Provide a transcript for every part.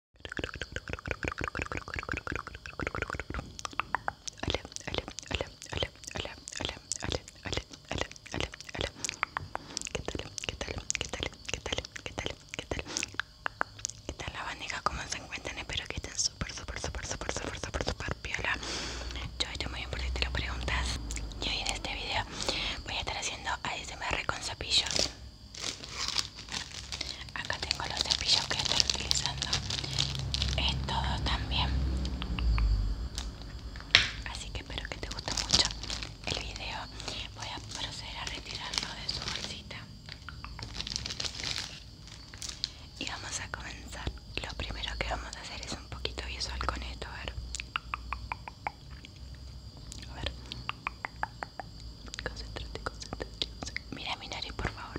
tal? ¿Qué tal? ¿Qué tal? ¿Qué tal? ¿Qué tal? ¿Qué tal? ¿Qué tal? ¿Qué tal? ¿Qué tal? ¿Qué tal? ¿Qué tal? ¿Qué tal? ¿Qué tal la bandeja? ¿Cómo se encuentran? Espero que estén súper, súper, súper, súper, súper, súper, súper piola. Yo estoy muy bien lo preguntas. Y hoy en este video voy a estar haciendo ASMR con tal? Acá tengo los cepillos que estoy utilizando Es todo también. Así que espero que te guste mucho el video. Voy a proceder a retirarlo de su bolsita. Y vamos a comenzar. Lo primero que vamos a hacer es un poquito visual con esto, a ver. A ver. Concentrate, concentrate, concentrate Mira mi nariz, por favor.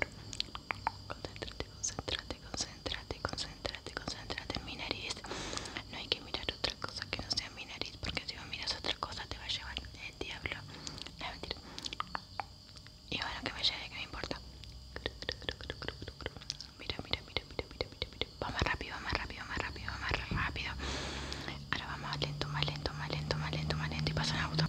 Concentrate, concentrate Concentrate, concentrate, concentrate mi nariz. No hay que mirar otra cosa que no sea mi nariz, porque si no miras otra cosa te va a llevar el diablo. Y bueno, que me lleve, que me importa. Mira, mira, mira, mira, mira, mira, mira. Va más rápido, vamos más rápido, rápido, rápido. Ahora vamos más lento, más lento, más lento, más lento, más lento y pasa en auto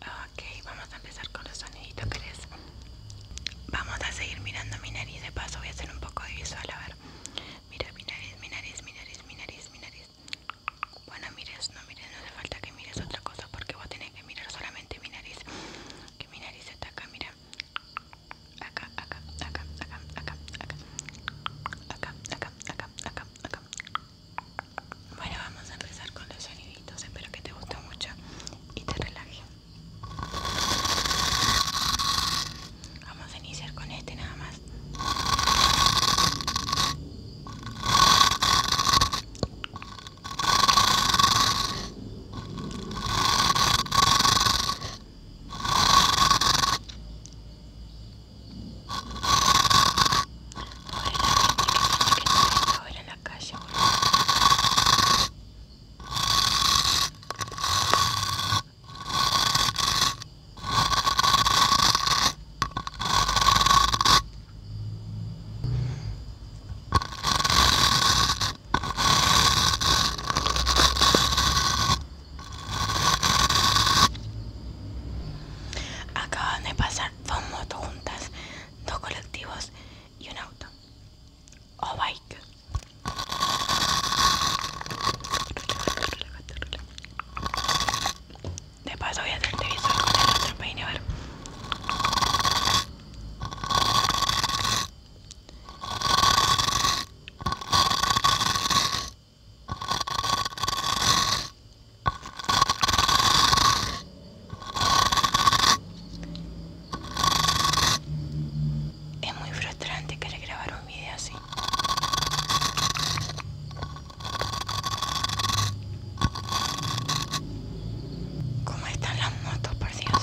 Ok, vamos a empezar con los soniditos, ¿crees? Vamos a seguir mirando mi nariz de paso, voy a hacer un poco de visual, a ver. Mira mi nariz, mi nariz, mi nariz, mi nariz, mi nariz. Bueno, mires, no mires, no hace falta que mires otra cosa porque vos tenés que mirar solamente mi nariz. Que mi nariz está acá, mira. acá, acá, acá, acá, acá, acá, acá, acá, acá, acá, acá, bueno, vamos a empezar con los soniditos. Espero que te guste mucho y te relaje. Vamos a iniciar con este nada más de pasar dos motos juntas, dos colectivos y un auto. O bike. De paso voy a hacer el otro de nuestro es muy frustrante querer grabar un video así. ¿Cómo están las motos, por Dios?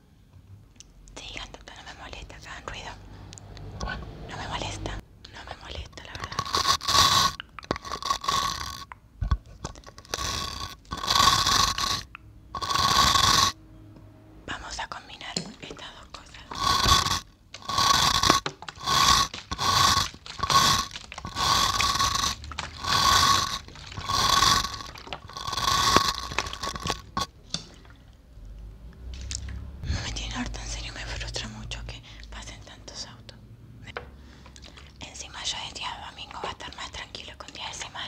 Sigan, sí, no me molesta, hagan ruido. No me molesta, no me molesta, la verdad. Vamos a combinar estas dos cosas. Me tiene harta, en serio me frustra mucho que pasen tantos autos. Encima yo decía, día domingo va a estar más tranquilo con día de semana.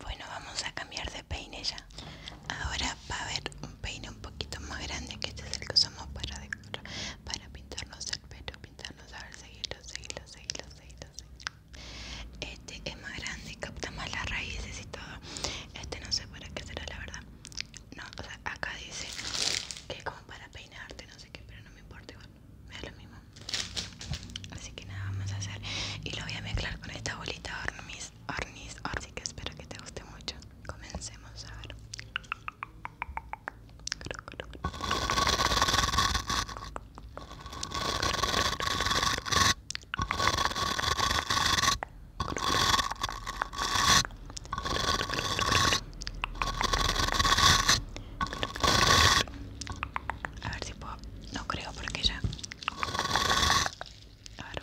Bueno, vamos a cambiar de peine ya. Ahora va a haber un peine un poquito más grande que este es el que usamos para decorar para pintarnos el pelo, pintarnos, a ver, seguirlo, seguirlo, seguirlo, seguirlo, Este es más grande, capta más las raíces y todo. Este no sé para qué será, la verdad. No, o sea, acá dice que es como para peinarte, no sé qué, pero no me importa igual, me da lo mismo. Así que nada, vamos a hacer. Y lo voy a mezclar con esta bolita hornis, hornis, hornis Así que espero que te guste mucho. Comencemos a ver. A ver si puedo. No creo porque ya. claro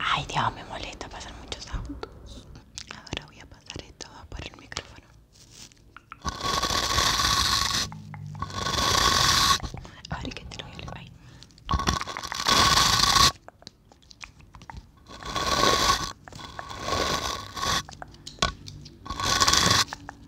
Ay, Dios, me molesta pasar muchos autos. Ahora voy a pasar esto por el micrófono. ver que te lo voy a leer.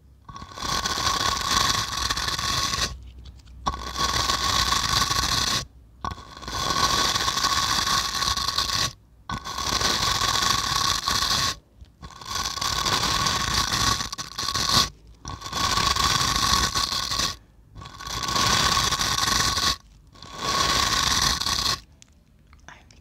Ay, me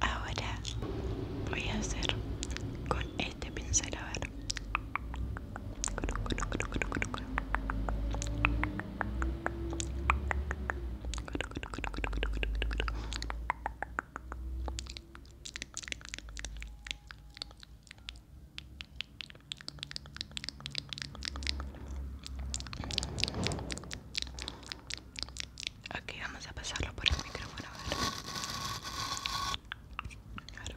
Ahora voy a hacer con este pincel a ver. Aquí vamos a pasarlo por el micrófono. A ver.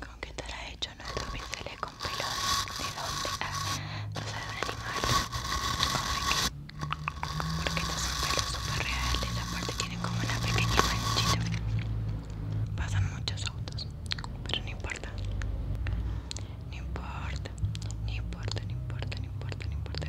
¿Con qué estará hecho nuestro pinceles con pelo ¿De dónde? Ah, no sé, de un animal. de Porque estos son pelos súper reales. Aparte tienen como una pequeña manchita. Pasan muchos autos. Pero No importa, no importa, no importa, no importa. No importa.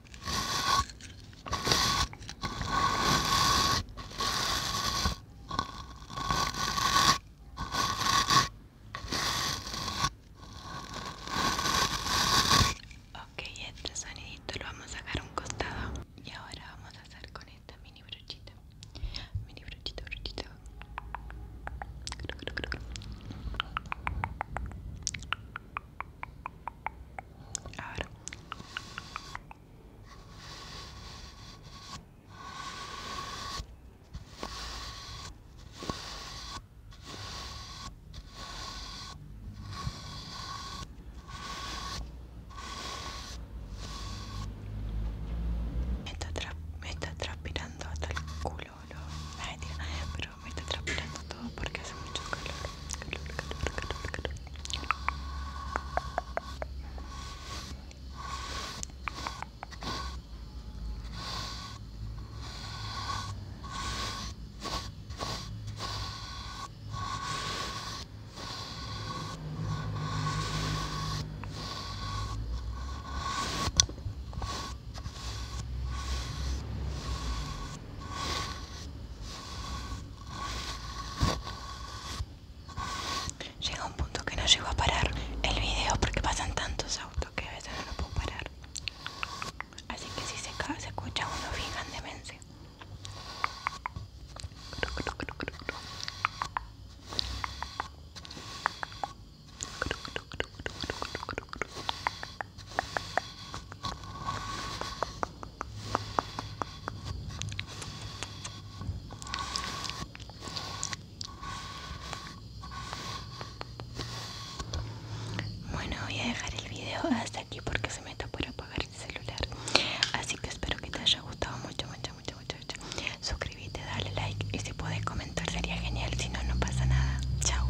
Ok, este sonidito lo vamos a dejar a un costado y ahora vamos a hacer con esta mini brochita. Mini brochita, brochita. Me está, traspirando transpirando hasta el culo, me está transpirando todo porque hace mucho calor. Calor, calor, calor, calor. Llega un punto que no llego a parar el video porque pasan tantos autos que a veces no lo puedo parar. Así que si se, se escucha uno, fijan demencia. Bueno, voy a dejar el video hasta aquí porque se me está por apagar el celular. Así que espero que te haya gustado mucho, mucho, mucho, mucho. mucho. Suscríbete, dale like y si puedes comentar sería genial. Si no, no pasa nada. Chao.